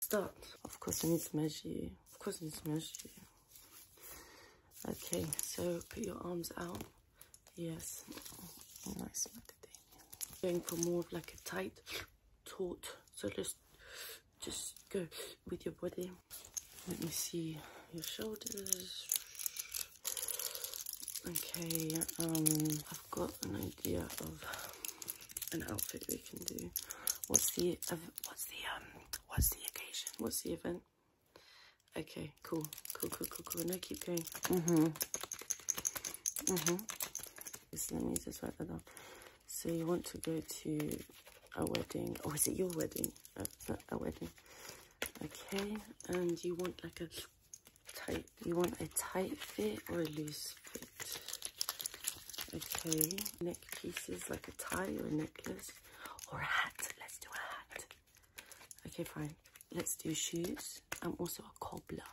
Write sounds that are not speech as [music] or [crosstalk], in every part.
start. Of course, I need to measure you. Of course, I need to measure you. Okay, so put your arms out. Yes. Nice. Going for more of like a tight, taut. So just, just go with your body. Let me see your shoulders. Okay, um, I've got an idea of an outfit we can do. What's the what's the um what's the occasion? What's the event? Okay, cool, cool, cool, cool, cool. No, keep going. Mhm. Mm mhm. Mm so let me just write that down. So you want to go to a wedding? Oh, is it your wedding? A, uh, a, a wedding. Okay, and you want like a tight. You want a tight fit or a loose fit? Okay, neck pieces like a tie or a necklace or a hat. Let's do a hat. Okay, fine. Let's do shoes. I'm also a cobbler.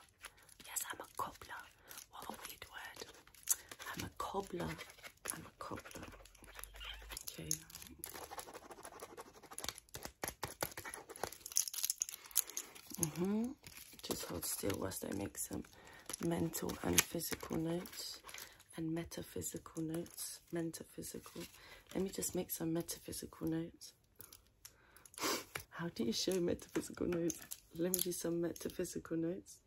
Yes, I'm a cobbler. What a weird word. I'm a cobbler. I'm a cobbler. Okay. Mm-hmm. Just hold still whilst I make some mental and physical notes and metaphysical notes. Metaphysical. Let me just make some metaphysical notes. [laughs] How do you show metaphysical notes? Let me do some metaphysical notes.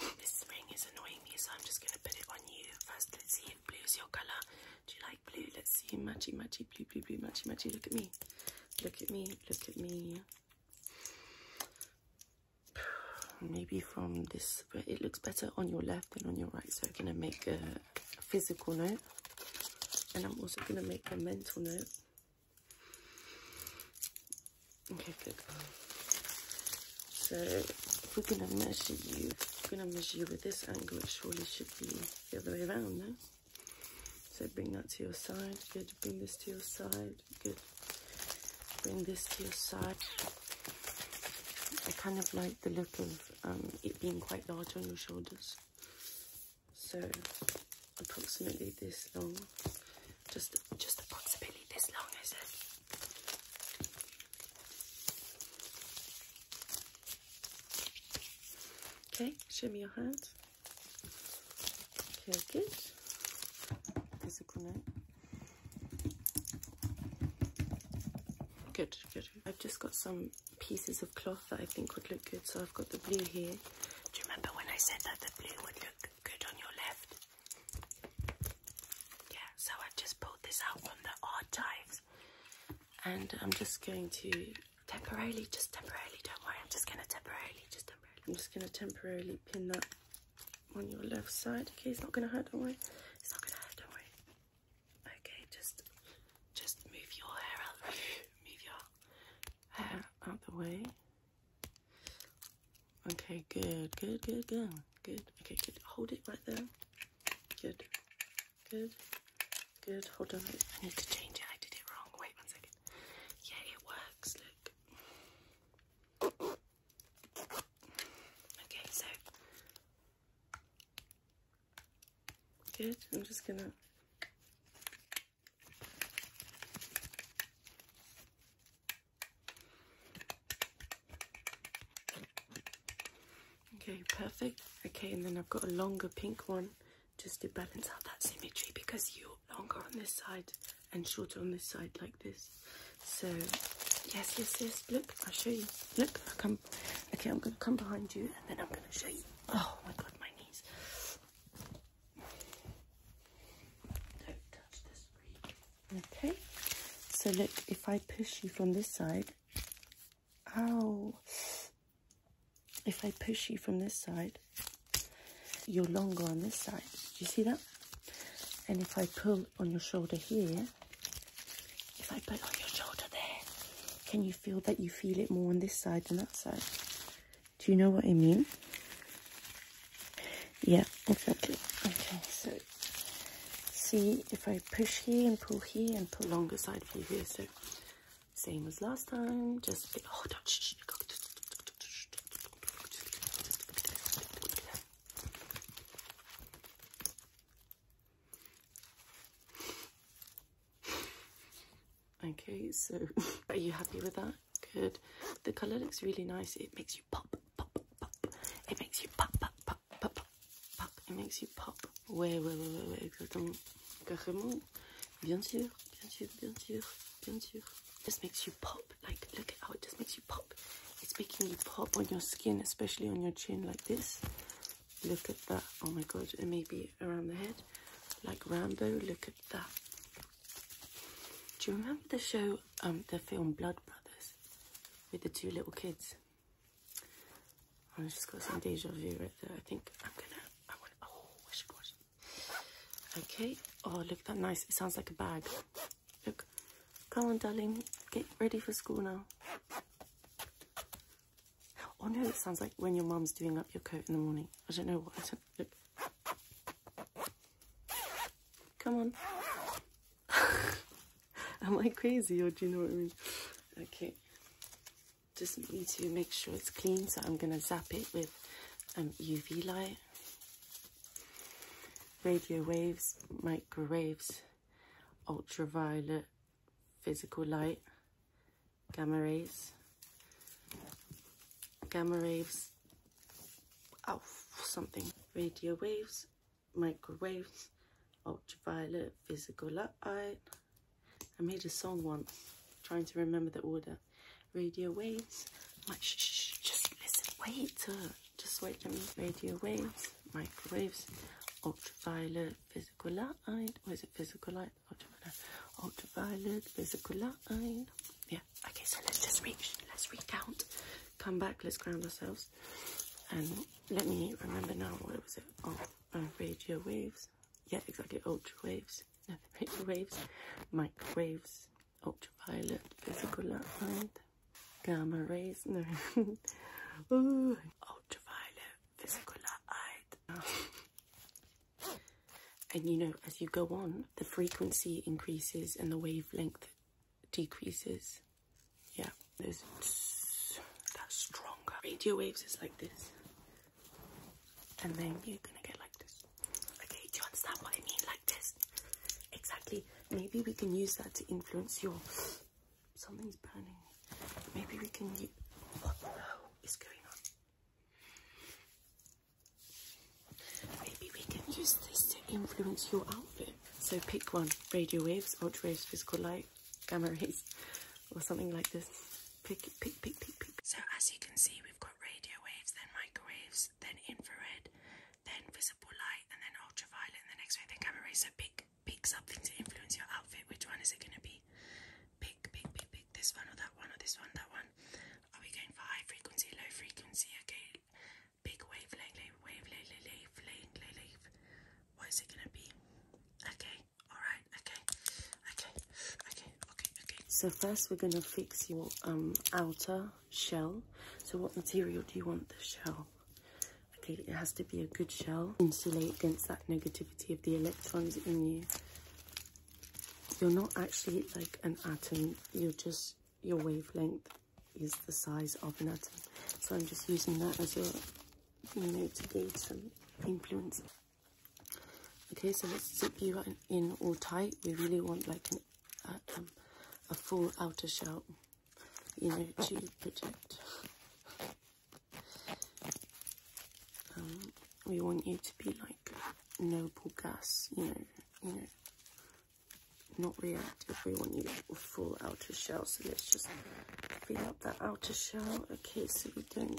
[laughs] This ring is annoying me, so I'm just going to put it on you. First, let's see if blue is your colour. Do you like blue? Let's see. Matchy, matchy, blue, blue, blue, matchy, matchy. Look at me. Look at me. Look at me maybe from this but it looks better on your left than on your right so i'm going to make a, physical note and i'm also going to make a mental note okay good so we're going to measure you We're going to measure you with this angle it surely should be the other way around no so bring that to your side. Good. Bring this to your side. Good. Bring this to your side. I kind of like the look of um, it being quite large on your shoulders. So approximately this long. Just, just approximately this long, I said. Okay, Show me your hands. Turkish. Kızıkını. Good, good. I've just got some pieces of cloth that I think would look good. So I've got the blue here. Do you remember when I said that the blue would look good on your left? Yeah, so I just pulled this out from the archives. And I'm just going to temporarily, just temporarily, don't worry, I'm just going to temporarily, just I'm just going to temporarily pin that on your left side. Okay, it's not going to hurt, don't worry. It's not going to hurt, don't worry. Okay, just just move your hair out. [laughs] move your hair out the way. Okay, good, good, good, good, good. Okay, good. Hold it right there. Good, good, good. Hold on. I need to change it. I did it wrong. Wait one second. Yeah, it works. Look, Okay, so good. I'm just gonna Okay, perfect. Okay, and then I've got a longer pink one just to balance out that symmetry because you longer on this side and shorter on this side like this so yes yes yes look i'll show you look i come okay i'm gonna come behind you and then i'm gonna show you oh my god my knees don't touch the okay so look if i push you from this side ow if i push you from this side you're longer on this side. Do you see that? And if I pull on your shoulder here, if I pull on your shoulder there, can you feel that you feel it more on this side than that side? Do you know what I mean? Yeah, exactly. Okay, so see if I push here and pull here and pull longer side for you here. So same as last time, just oh, don't, Okay, so [laughs] are you happy with that? Good. The colour looks really nice. It makes you pop, pop, pop. It makes you pop, pop, pop, pop, pop. It makes you pop. Ouais, ouais, ouais, ouais, ouais, exactement. Carrément. Bien sûr, bien sûr, bien sûr, bien sûr. Just makes you pop. Like, look at how it just makes you pop. It's making you pop on your skin, especially on your chin like this. Look at that. Oh my god. And maybe around the head. Like Rambo. Look at that. Do you remember the show, um, the film Blood Brothers? With the two little kids? I just got some deja vu right there. I think I'm gonna, I want, oh, I should watch Okay. Oh, look that nice. It sounds like a bag. Look. Come on, darling. Get ready for school now. Oh no, it sounds like when your mum's doing up your coat in the morning. I don't know what. I don't, look. Come on. [laughs] Am I crazy or do you know what I mean? Okay. Just need to make sure it's clean, so I'm gonna zap it with um, UV light Radio waves, microwaves, ultraviolet, physical light, gamma rays, gamma rays, oh, something, radio waves, microwaves, ultraviolet, physical light. I made a song once, trying to remember the order radio waves. just wait, uh, just wait. radio waves, microwaves, ultraviolet, physical light. Or oh, is it physical light? Ultraviolet, ultraviolet, physical light. Yeah. Okay, so let's just reach. Let's recount. Come back. Let's ground ourselves. And let me remember now. What was it? Oh, uh, radio waves. Yeah, exactly. Ultra waves. No, [laughs] radio waves, microwaves, ultraviolet, physical light, gamma rays, [laughs] no, Ooh. ultraviolet, physical light. [laughs] and you know, as you go on, the frequency increases and the wavelength decreases. Yeah, that's stronger. Radio waves is like this, and then you're gonna get like this. Okay, do you understand what I mean? Like this. Exactly. Maybe we can use that to influence your. Something's burning. Maybe we can. Use... What the hell is going on? Maybe we can use this to influence your outfit. So pick one radio waves, ultra waves, physical light, gamma rays, or something like this. Pick, pick, pick, pick, pick. So as you can see, we've got radio waves, then microwaves, X, then infrared, then visible light, and then ultraviolet. And the next way the camera is so pick pick something to influence your outfit. Which one is it going to be? Pick, pick, pick, pick this one or that one or this one, that one. Are we going for high frequency, low frequency? Okay, big wavelength, wavelength, wavelength, wavelength. What is it going to be? Okay, all right, okay, okay, okay, so first we're going to fix your um, outer shell. So what material do you want the shell? Okay, it has to be a good shell. Insulate against that negativity of the electrons in you. You're not actually like an atom. You're just, your wavelength is the size of an atom. So I'm just using that as your you know, to gauge some influence. Okay, so let's zip you in all tight. We really want like an uh, um, a full outer shell, you know, to protect. Um, we want you to be like noble gas, you know, you know, not reactive. We want you a full outer shell, so let's just fill up that outer shell. Okay, so we don't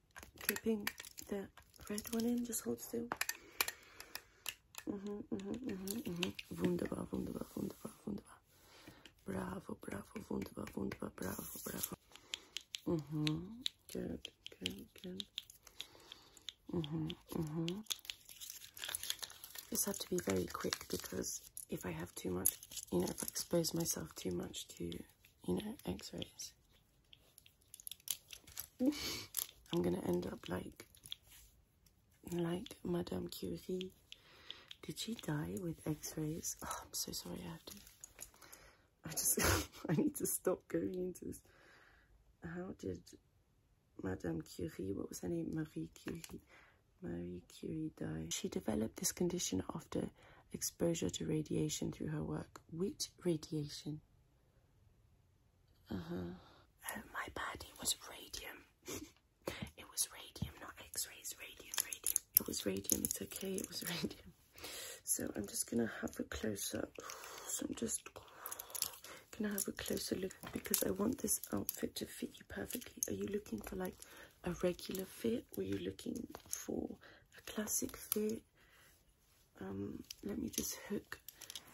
Keeping the red one in. Just hold still. -hmm, -hmm, -hmm, -hmm. Wunderbar, wunderbar, wunderbar, wunderbar. Bravo, bravo, wunderbar, wunderbar, bravo, bravo. -hmm. Good, good, good. Mm -hmm, -hmm. Just have to be very quick because if I have too much, you know, if I expose myself too much to, you know, x-rays, I'm gonna end up like like Madame Curie. Did she die with x-rays? Oh, I'm so sorry I have to. I just [laughs] I need to stop going into this. How did Madame Curie, what was her name? Marie Curie. Marie Curie died. She developed this condition after exposure to radiation through her work. with radiation? Uh huh. Oh, my bad. It was radium. [laughs] it was radium, not X-rays. Radium, radium. It was radium. It's okay. It was [laughs] radium. So I'm just gonna have a closer. [sighs] So I'm just [sighs] gonna have a closer look because I want this outfit to fit you perfectly. Are you looking for like a regular fit? or are you looking for a classic fit? Um, let me just hook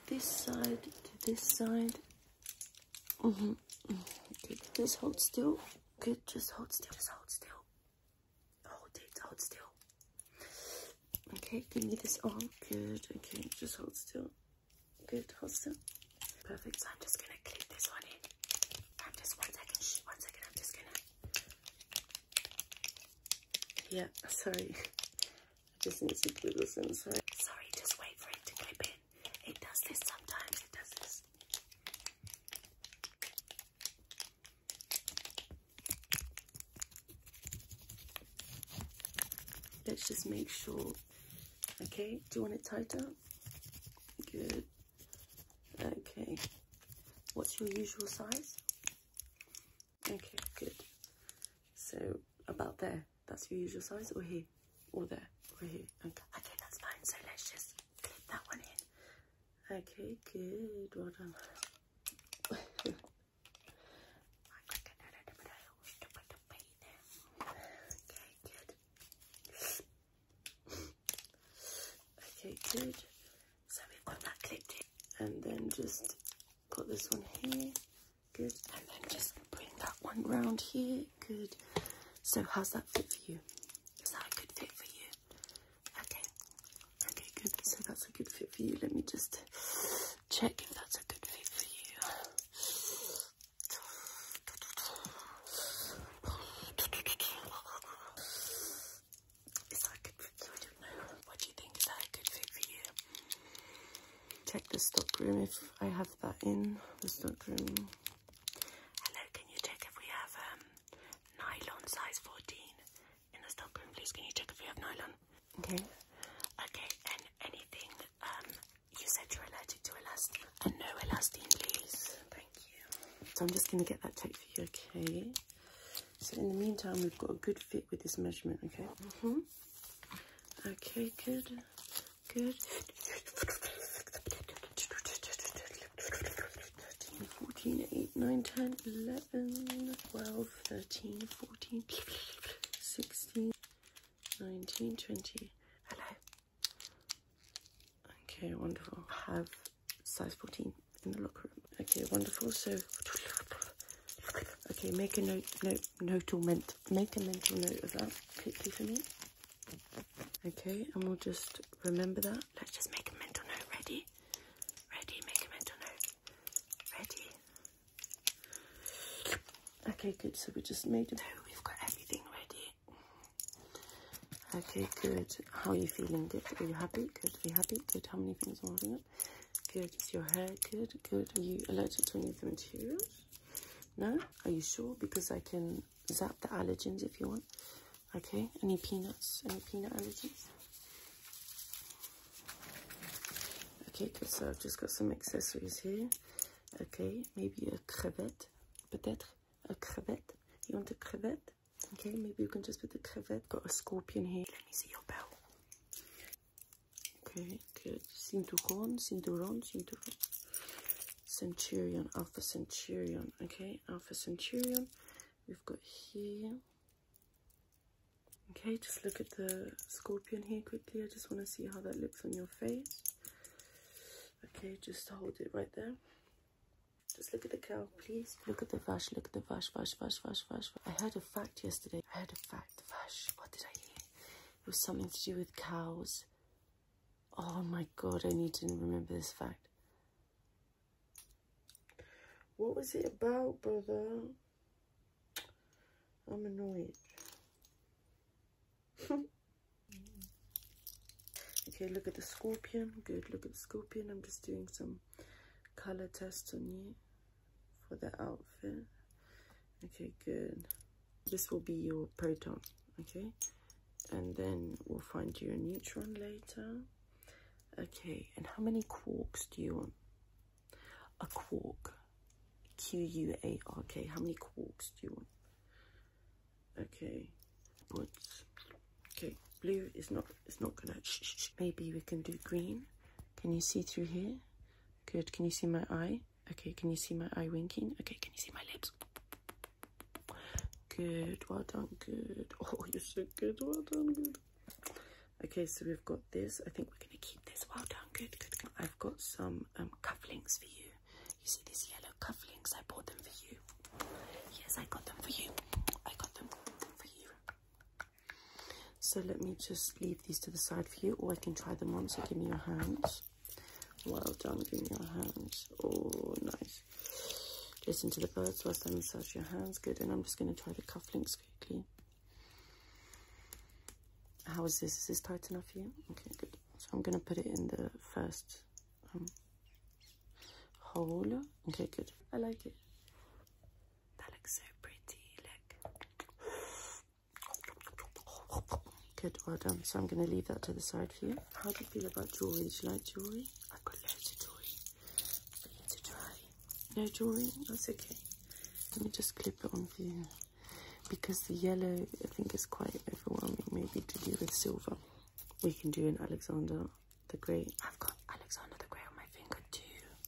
this side to this side. Mm Okay, just hold still. Good, just hold still. Just hold still. Hold it, hold still. Okay, give me this arm. Good, okay, just hold still. Good, hold still. Perfect, so I'm just gonna clip this one in. I'm just, one second, one second, I'm just gonna yeah, sorry. I just need to glue this inside. Sorry, just wait for it to clip in. It does this sometimes, it does this. Let's just make sure. Okay, do you want it tighter? Good. Okay. What's your usual size? Okay, good. So about there, that's your usual size, or here, or there, or here. Okay, that's fine. So let's just clip that one in. Okay, good. Well done. [laughs] okay, good. Okay, good. So we've got that clipped And then just put this one here. Good. And then just bring that one round here. Good. So how's that fit for you? Is that a good fit for you? Okay. Okay, good. So that's a good fit for you. Let me just check if that's a good fit for you. Is that good for What do you think? Is that a good fit for you? Check the stockroom if I have that in the stockroom. Hello, can you check if we have um, nylon size 14 in the stockroom, please? Can you check if we have nylon? Okay. Okay, and anything, um, you said you're allergic to elastine. And no elastin, please. Thank you. So I'm just going to get that checked for you, okay? So in the meantime, we've got a good fit with this measurement, okay? -hmm. Okay, good, good. Fourteen, eight, nine, ten, eleven, twelve, thirteen, fourteen, sixteen, nineteen, twenty. Hello. Okay, wonderful. Have size fourteen in the locker room. Okay, wonderful. So, okay, make a note, note, note or make a mental note of that Okay, and we'll just remember that. Let's just make a mental note. Ready? Ready? Make a mental note. Ready? Okay, good. So we just made it. So we've got everything ready. Okay, good. How are you feeling? Good. Are you happy? Good. Are you happy? Good. How many things are holding up? Good, is your hair good? Good. Are you allergic to any of the materials? No? Are you sure? Because I can zap the allergens if you want. Okay, any peanuts? Any peanut allergies? Okay, good. So I've just got some accessories here. Okay, maybe a crevette. Peut-être a crevette. You want a crevette? Okay, maybe you can just put the crevette. Got a scorpion here. Let me see your belt. Okay, good. Cinturon, cinturon, cinturon. Centurion, Alpha Centurion. Okay, Alpha Centurion. We've got here. Okay, just look at the scorpion here quickly. I just want to see how that looks on your face. Okay, just hold it right there. Just look at the cow, please. Look at the vash, look at the vash, vash, vash, vash, vash. I heard a fact yesterday. I heard a fact. Gosh, what did I hear? It was something to do with cows. Oh my god, I need to remember this fact. What was it about, brother? I'm annoyed. [laughs] okay, look at the scorpion. Good, look at the scorpion. I'm just doing some color tests on you for the outfit. Okay, good. This will be your proton, okay? And then we'll find your neutron later. Okay, and how many quarks do you want? A quark. Q-U-A-R-K. How many quarks do you want? Okay, but okay, blue is not, it's not gonna, maybe we can do green can you see through here? Good. Can you see my eye? Okay. Can you see my eye winking? Okay. Can you see my lips? Good. Well done. Good. [laughs] Oh, you're so good. Well done. Good. Okay. So we've got this. I think we're going to keep this. Well done. Good. Good. I've got some um, cufflinks for you. You see these yellow cufflinks? I bought them for you. Yes, I got them for you. I got them for you. So let me just leave these to the side for you, or I can try them on. So give me your hands. Well done, give me your hands. Oh, nice. Listen to the birds whilst I massage your hands. Good, and I'm just going to try the cufflinks quickly. How is this? Is this tight enough for you? Okay, good. So I'm going to put it in the first um, hole. Okay, good. I like it. That looks so pretty. Look. Good, well done. So I'm going to leave that to the side for you. How do you feel about jewellery? Do you like jewellery? I've got loads of jewellery for you to try. No jewellery? That's okay. Let me just clip it on for you. Because the yellow, I think, is quite overwhelming, maybe to do with silver. We can do an Alexander the Great. I've got Alexander the Great on my finger too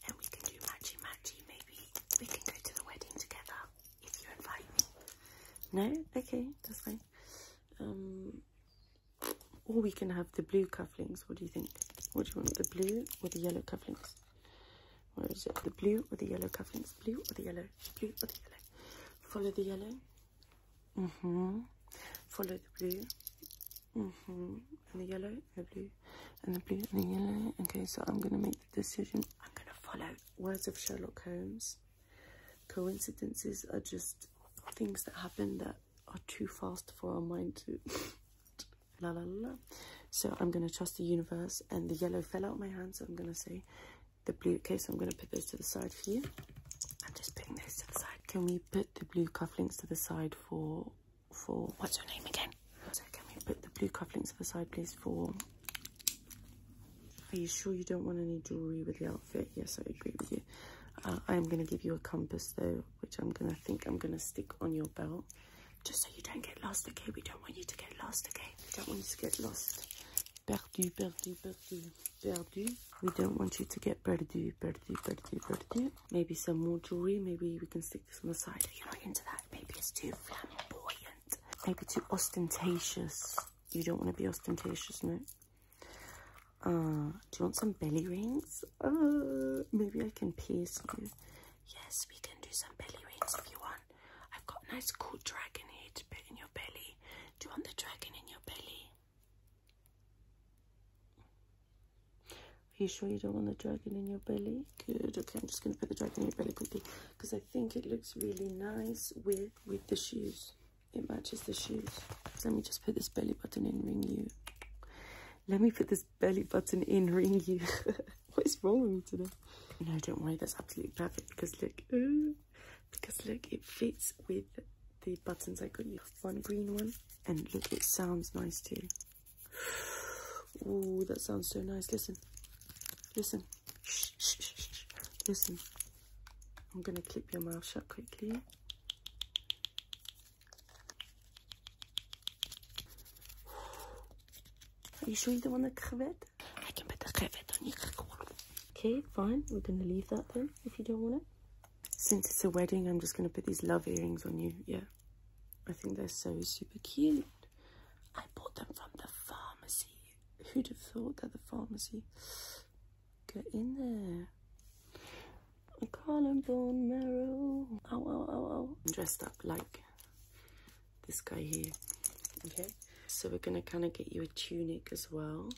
and we can do matchy matchy. Maybe we can go to the wedding together if you invite me. No, okay, that's fine. Um, or we can have the blue cufflinks. What do you think? What do you want, the blue or the yellow cufflinks? Where is it? The blue or the yellow cufflinks? Blue or the yellow? Blue or the yellow? Follow the yellow. Mhm. Follow the blue hmm And the yellow and the blue and the blue and the yellow. Okay, so I'm gonna make the decision. I'm gonna follow words of Sherlock Holmes. Coincidences are just things that happen that are too fast for our mind to [laughs] la la la. So I'm gonna trust the universe and the yellow fell out of my hand, so I'm gonna say the blue okay, so I'm gonna put those to the side for you. I'm just putting those to the side. Can we put the blue cufflinks to the side for for what's her name again? So can we put the blue cufflinks aside, please? For are you sure you don't want any jewelry with the outfit? Yes, I agree with you. Uh, I'm gonna give you a compass though, which I'm gonna think I'm gonna stick on your belt, just so you don't get lost. Okay, we don't want you to get lost. Okay, we don't want you to get lost. Perdu, perdu, perdu, perdu. We don't want you to get perdu, perdu, perdu, perdu. Maybe some more jewelry. Maybe we can stick streaks the side. You're not into that. Maybe it's too flamboyant. Maybe too ostentatious. You don't want to be ostentatious, no? Uh, do you want some belly rings? Uh, maybe I can pierce you. Yes, we can do some belly rings if you want. I've got a nice cool dragon here to put in your belly. Do you want the dragon in your belly? Are you sure you don't want the dragon in your belly? Good. Okay, I'm just going to put the dragon in your belly quickly because I think it looks really nice with with the shoes. It matches the shoes. let me just put this belly button in ring you. Let me put this belly button in ring you. [laughs] what is wrong with me today? No, don't worry. That's absolutely perfect because look, ooh, [gasps] because look, it fits with the buttons I got you. One green one. And look, it sounds nice too. Ooh, that sounds so nice. Listen, listen, listen. I'm going to clip your mouth shut quickly. Are you sure you don't want a crevet? I can put the crevet on your Okay, fine. We're going to leave that then if you don't want it. Since it's a wedding, I'm just going to put these love earrings on you. Yeah. I think they're so super cute. I bought them from the pharmacy. Who'd have thought that the pharmacy? got in there. i collarbone marrow. bone marrow. Oh oh oh oh! dressed up like this guy here. Okay. So we're going to kind of get you a tunic as well.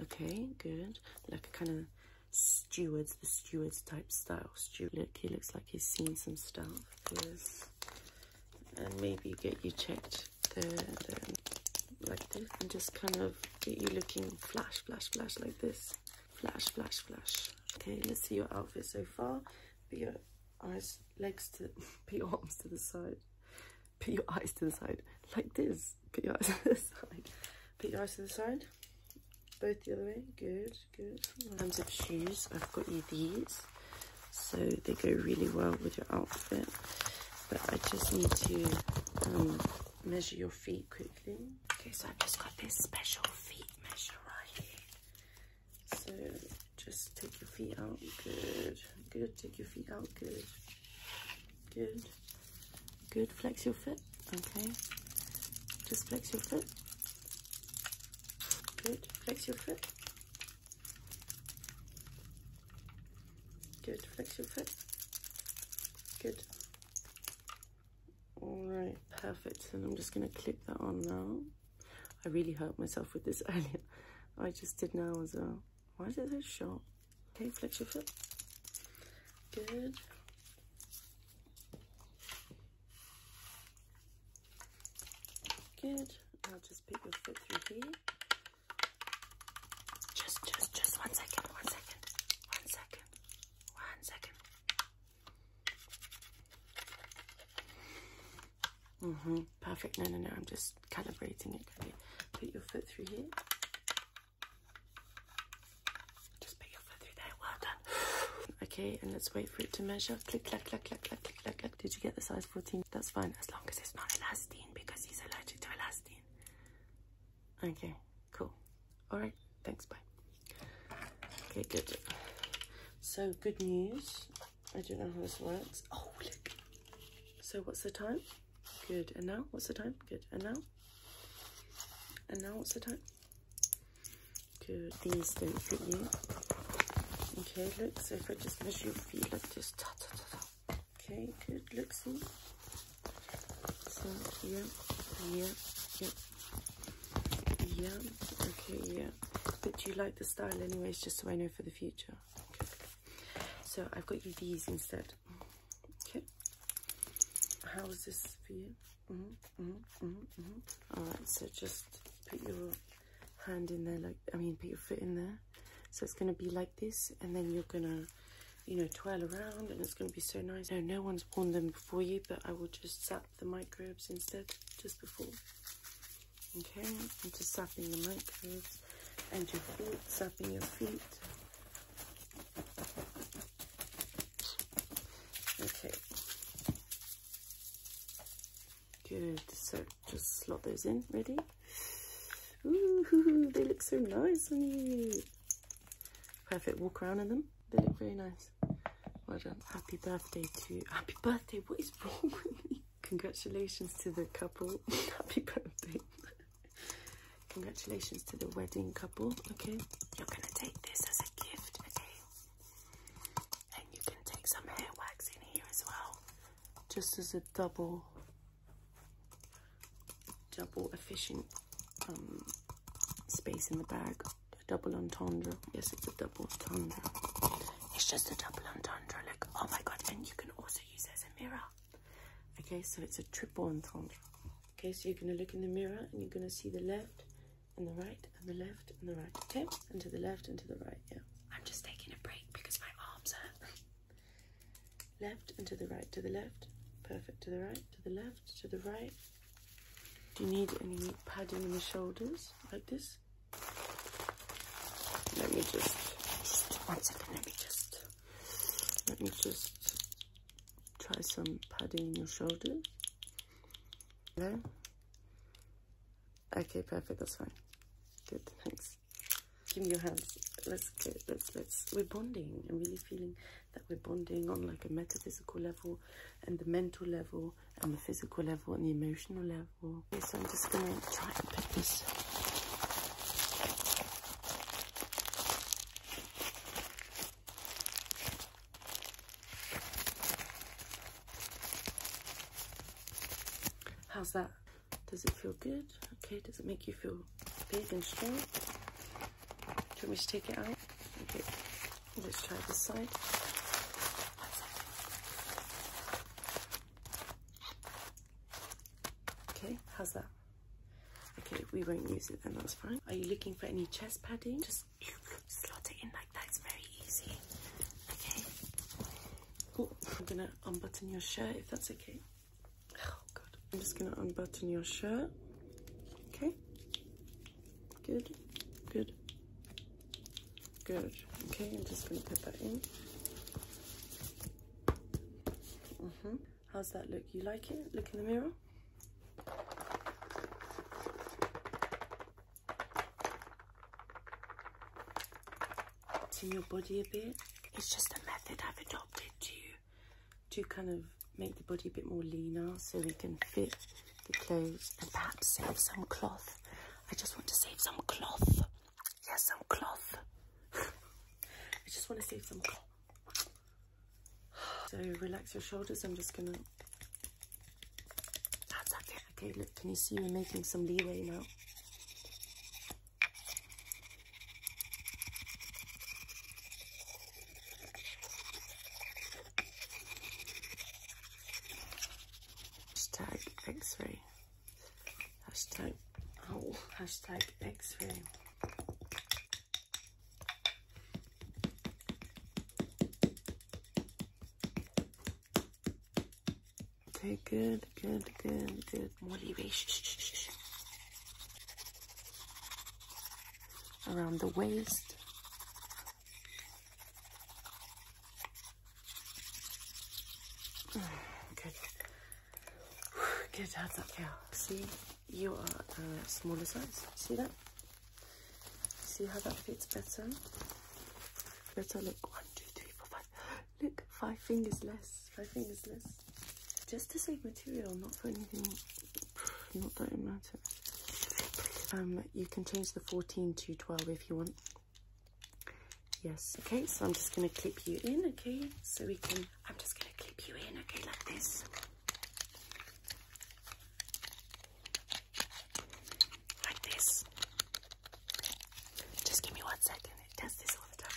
Okay, good. Like a kind of stewards, the stewards type style else look? He looks like he's seen some stuff. And maybe get you checked the, like this and just kind of get you looking flash, flash, flash like this. Flash, flash, flash. Okay, let's see your outfit so far. Put your eyes, legs to, [laughs] put your arms to the side. Put your eyes to the side like this. Put your eyes [laughs] to the side. Put your eyes to the side both the other way. Good, good. In terms of shoes, I've got you these. So they go really well with your outfit. But I just need to um, measure your feet quickly. Okay, so I've just got this special feet measure right here. So just take your feet out. Good, good. Take your feet out. Good, good. Good. Flex your foot. Okay, just flex your foot. Good, flex your foot. Good, flex your foot. Good. Alright, perfect. And I'm just going to clip that on now. I really hurt myself with this [laughs] earlier. I just did now as well. Why is it so short? Okay, flex your foot. Good. Good. I'll just put your foot through here. Just, just, just one second, one second, one second, second. Mm-hmm. Perfect. No, no, no. I'm just calibrating it. Okay. Put your foot through here. Just put your foot through there. Well done. [sighs] Okay, and let's wait for it to measure. Click, click, click, click, click, click, clack, Did you get the size 14? That's fine, as long as it's not elastine because he's allergic to elastine. Okay, cool. All right, thanks, bye. Okay, good. So, good news. I don't know how this works. Oh, look. So, what's the time? Good. And now, what's the time? Good. And now? And now, what's the time? because these don't fit you. Okay, look, so if I just measure your feet like this, ta ta ta ta. Okay, good, look, see? So, yeah, yeah, yeah, yeah, okay, yeah. But do you like the style anyways, just so I know for the future? So I've got you these instead. Okay. How is this for you? -hmm. Mm-hmm. All right, so just put your hand in there, like I mean, put your foot in there. So it's gonna be like this, and then you're gonna, you know, twirl around, and it's gonna be so nice. No, no one's worn them before you, but I will just sap the microbes instead, just before. Okay, I'm just sapping the microbes and your feet, sapping your feet. Okay. Good, so just slot those in, ready? Ooh, [laughs] they look so nice on you. Perfect, walk around in them. They look very nice. Well done. Happy birthday to, happy birthday, what is wrong with me? Congratulations to the couple. [laughs] happy birthday. Congratulations to the wedding couple, okay? You're gonna take this as a gift, okay? And you can take some hair wax in here as well, just as a double, double efficient um, space in the bag. double entendre. Yes, it's a double entendre. It's just a double entendre. Look, oh my god! And you can also use as a mirror. Okay, so it's a triple entendre. Okay, so you're gonna look in the mirror and you're gonna see the left and the right and the left and the right. and to the left and to the right. Yeah. I'm just taking a break because my arms hurt. left and to the right, to the left. Perfect. To the right, to the left, to the right. Do you need any padding in the shoulders like this? Let me just, just one second. Let me just. Let me just try some padding in your shoulders. Okay, perfect, that's fine. Good, thanks. Give me your hands. Let's get. let's, let's, we're bonding. I'm really feeling that we're bonding on like a metaphysical level and the mental level and the physical level and the emotional level. Okay, so I'm just gonna try and pick this How's that? Does it feel good? Okay, does it make you feel big and strong? Do you want me to take it out? Okay, let's try this side. Okay, how's that? Okay, we won't use it then, that's fine. Are you looking for any chest padding? Just just slot it in like that. It's very easy. Okay. Oh, I'm gonna unbutton your shirt if that's okay. Oh god. I'm just gonna unbutton your shirt. Okay. Good. Good. Good. Okay, I'm just gonna put that in. Mm hmm How's that look? You like it? Look in the mirror. It's in your body a bit. It's just a method I've adopted to, to kind of make the body a bit more leaner so they can fit the clothes and perhaps save some cloth. I just want to save some cloth. Yes, some cloth. [laughs] I just want to save some cloth. So relax your shoulders. I'm just going to okay. look, can you see we're making some leeway now? Hashtag x-ray. Hashtag, oh, hashtag x-ray. Okay, good, good, good, good. Motivation. Around the waist. Good. Good, that okay. See, you are a uh, smaller size. See that? See how that fits better? Better look. One, two, three, four, five. [gasps] Look, five fingers less. Five fingers less. Just to save material, not for anything. [sighs] Not that important. Um, you can change the 14 to 12 if you want. Yes, okay, so I'm just gonna clip you in, okay? So we can, I'm just gonna clip you in, okay, like this. Like this. Just give me one second. It does this all the time.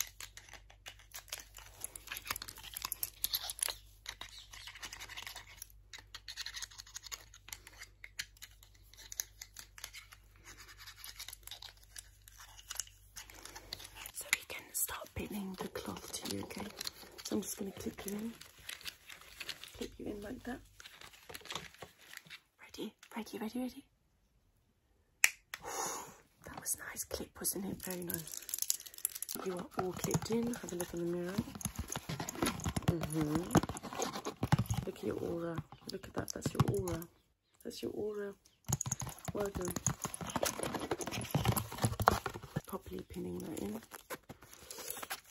So we can start pinning the cloth to you, okay? So I'm just going to clip you in, clip you in like that. Ready, ready, ready, ready. [sighs] that was nice clip, wasn't it? Very nice. You are all clipped in. Have a look in the mirror. -hmm. Look at your aura. Look at that. That's your aura. That's your aura. Well done. Properly pinning that in.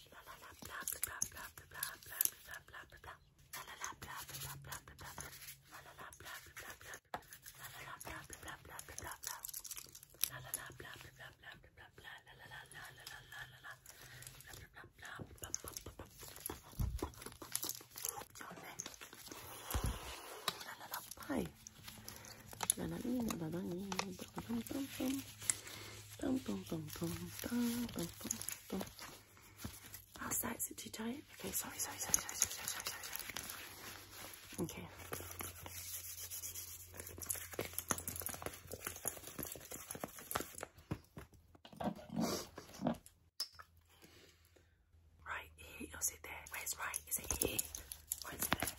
la la la blah blah blah blah blah blah blah blah blah blah la la la blah blah blah blah blah la la la blah blah blah la la la blah blah blah blah blah la la la blah blah blah blah blah la la la la la la la la la blah blah blah blah Hi. La la la la la la la Boom, boom, boom, boom, boom, boom, boom, boom. How's that? Is it too tight? Okay, sorry, sorry, sorry, sorry, sorry, sorry, sorry, sorry. Okay. Right here, or is it there? Where's right? Is it here? Or is it there?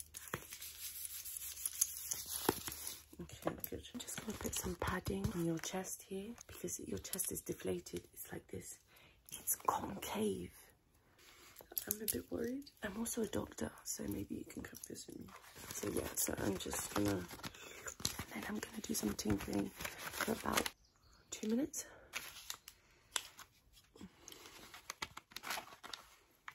Okay, I'm just going to put some padding on your chest here because your chest is deflated. It's like this. It's concave. I'm a bit worried. I'm also a doctor, so maybe you can come visit me. So yeah, so I'm just gonna, and then I'm gonna do some tinkering for about two minutes.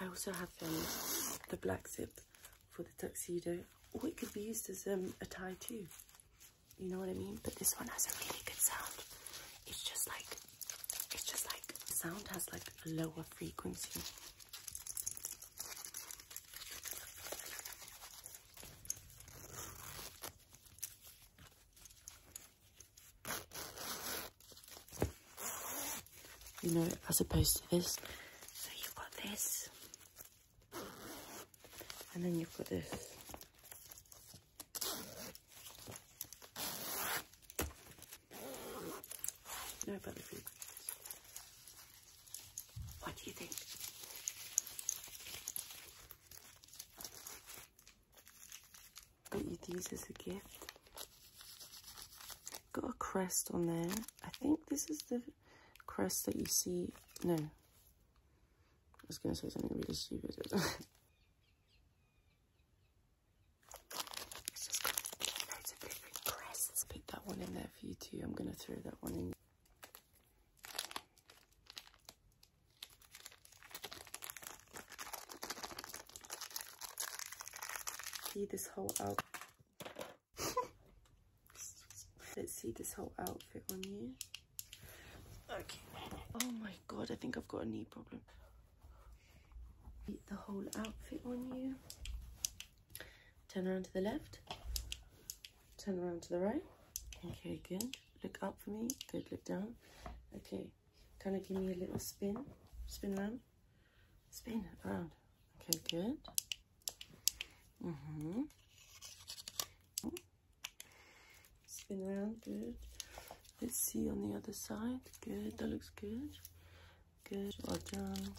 I also have um, the black zip for the tuxedo, or it could be used as um, a tie too. You know what I mean? But this one has a really good sound. It's just like, it's just like, sound has like a lower frequency. You know, as opposed to this. So you've got this. And then you've got this. No but What do you think? Got you these as a gift. Got a crest on there. I think this is the crest that you see. No. I was going to say something really stupid. [laughs] just got loads of different Put that one in there for you too. I'm going to throw that one in. See this whole out. [laughs] Let's see this whole outfit on you. Okay. Oh my god, I think I've got a knee problem. The whole outfit on you. Turn around to the left. Turn around to the right. Okay, good. Look up for me. Good, look down. Okay, kind of give me a little spin. Spin around. Spin around. Okay, good. Mm-hmm. Spin around, good. Let's see on the other side. Good, that looks good. Good, well done.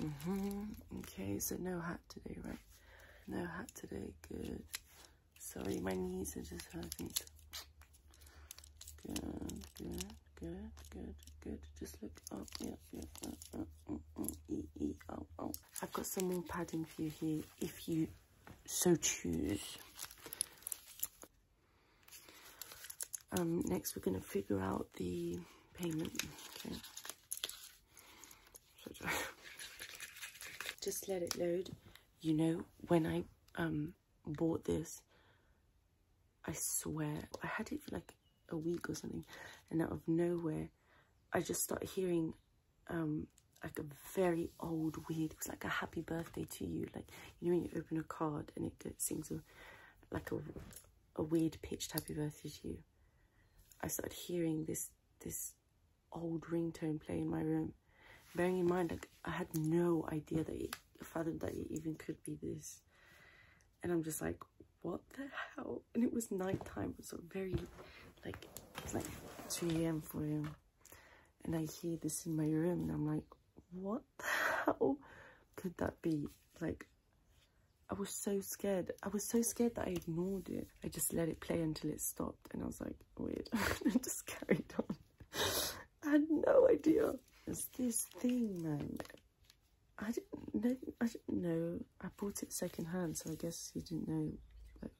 Mm -hmm. Okay, so no hat today, right? No hat today, good. Sorry, my knees are just hurting. Good, good, good, good, good. Just look up, yeah, yeah, uh, uh, uh, e, e, oh, oh. I've got some more padding for you here if you so choose. Um, next, we're going to figure out the payment. [laughs] just let it load. You know, when I um, bought this, I swear, I had it for like a week or something, and out of nowhere, I just started hearing um, like a very old, weird, it was like a happy birthday to you. Like, you know, when you open a card and it sings a, like a a weird pitched happy birthday to you. I started hearing this this old ringtone play in my room. Bearing in mind, like I had no idea that it fathomed that it even could be this. And I'm just like, what the hell? And it was nighttime, so very like it's like two a.m. for you, And I hear this in my room and I'm like, what how could that be? Like, I was so scared. I was so scared that I ignored it. I just let it play until it stopped. And I was like, weird. and [laughs] just carried on. I had no idea. It's this thing, man. I didn't know. I didn't know. I bought it secondhand, so I guess you didn't know that,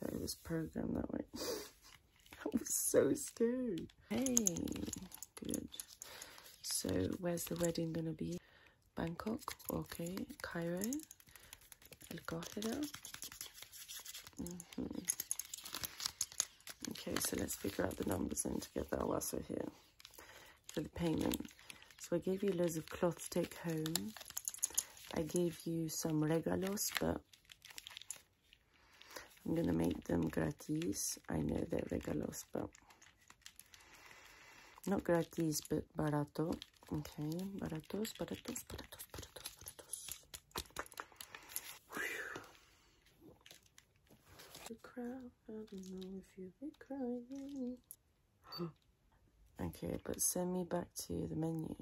that it was programmed that way. [laughs] I was so scared. Hey. Good. So where's the wedding gonna be? Bangkok, okay. Cairo, El Qahira. Mm-hmm. Okay, so let's figure out the numbers and to get we lasso here for the payment. So I gave you loads of cloth to take home. I gave you some regalos, but I'm gonna make them gratis. I know that regalos, but not gratis, but barato. Okay, baratos, baratos, baratos, baratos, baratos. okay, but send me back to the menu.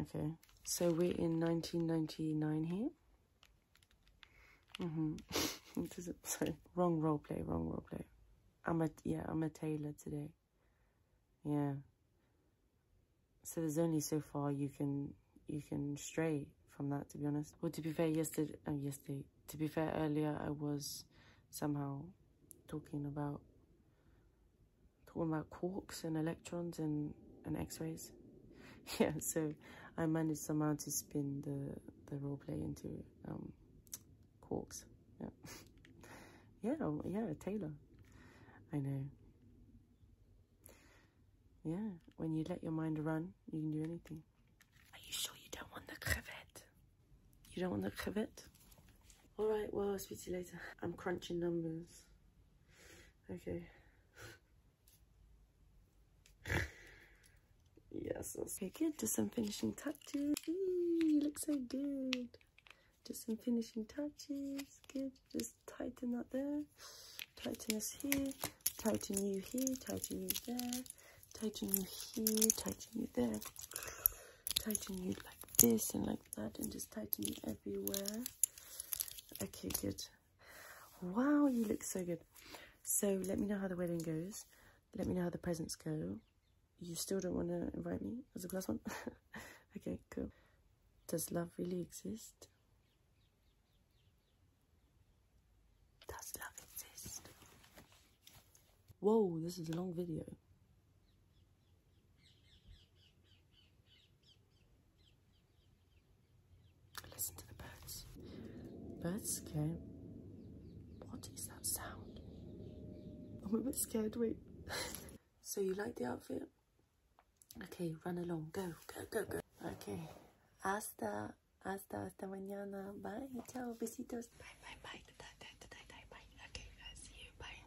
Okay, so we're in 1999 here. Mm-hmm. [laughs] sorry, wrong role play, wrong role play. I'm a, yeah, I'm a tailor today. Yeah. So there's only so far you can, you can stray from that, to be honest. Well, to be fair, yesterday, uh, yesterday, to be fair, earlier I was somehow talking about, talking about quarks and electrons and, and x-rays. [laughs] yeah, so I managed somehow to spin the, the role play into um, Quarks. Yeah. [laughs] yeah, oh, yeah, Taylor. I know. Yeah, when you let your mind run, you can do anything. Are you sure you don't want the crevet? You don't want the crevet? All right, well, i speak to you later. I'm crunching numbers. Okay. [laughs] yes, Okay. good. Just some finishing touches. Eee, looks so good. Just some finishing touches. Good. Just tighten that there. Tighten this here. Tighten you here. Tighten you there. Tighten you here. Tighten you there. Tighten you like this and like that and just tighten everywhere. Okay, good. Wow, you look so good. So let me know how the wedding goes. Let me know how the presents go. You still don't want to invite me as a plus [laughs] one? okay, cool. Does love really exist? Does love exist? Whoa, this is a long video. Listen to the birds. Birds okay. What is that sound? I'm a bit scared, wait. [laughs] so you like the outfit? Okay, run along. Go, go, go, go. Okay. Hasta, hasta, hasta mañana. Bye, ciao, besitos. Bye, bye, bye. Bye, bye, bye, bye, Okay, see you. Bye.